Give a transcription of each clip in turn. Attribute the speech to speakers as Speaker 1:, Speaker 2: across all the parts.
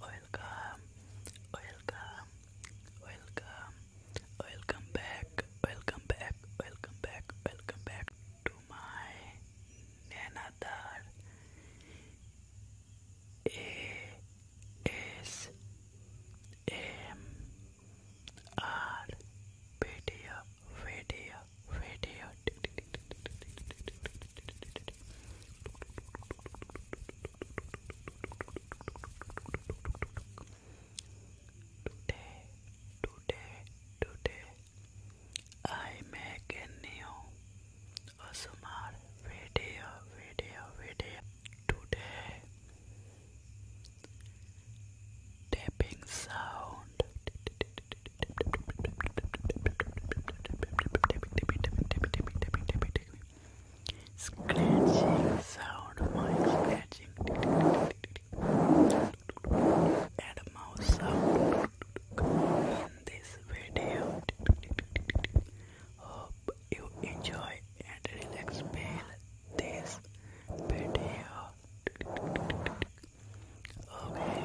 Speaker 1: Welcome, welcome, welcome, welcome back, welcome back, welcome back, welcome back to my another ASMR video, video, video. Today, today, today, I make a new ASMR video, video, video. Today, tapping sound. Scratching sound of my scratching and mouse sound in this video. Hope you enjoy and relax well this video. Okay,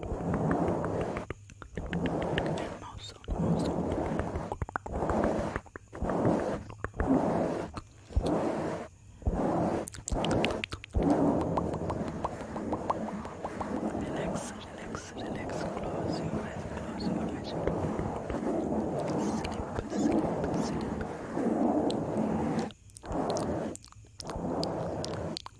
Speaker 1: And mouse on, mouse on. Relax, relax, relax. Close your eyes, close your eyes. Sleep, sleep, sleep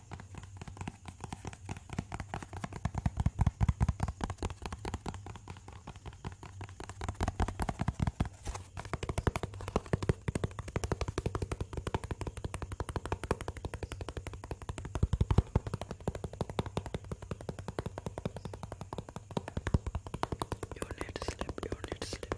Speaker 1: You need to sleep, you need to sleep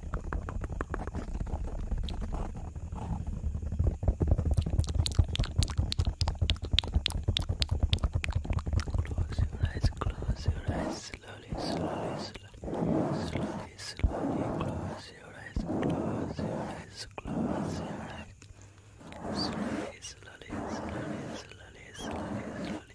Speaker 1: Close your eyes, close your eyes, slowly, slowly, slowly, slowly, slowly, close your eyes, close your eyes, close your eyes. Slowly, slowly, slowly, slowly, slowly, slowly.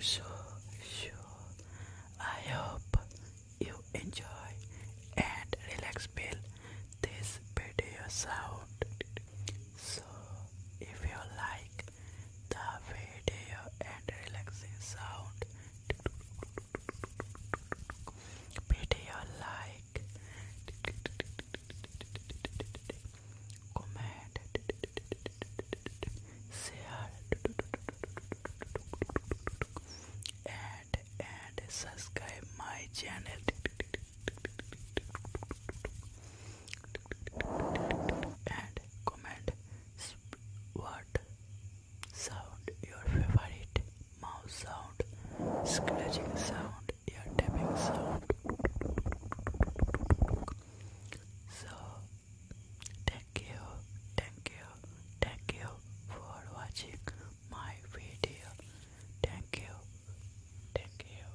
Speaker 1: So, so. I hope you enjoy and relax. Bill, this video sound. So if you like the video and relaxing sound video like comment share and and subscribe my channel and comment what sound your favorite mouse sound, scratching sound, ear tapping sound. So thank you, thank you, thank you for watching my video. Thank you, thank you.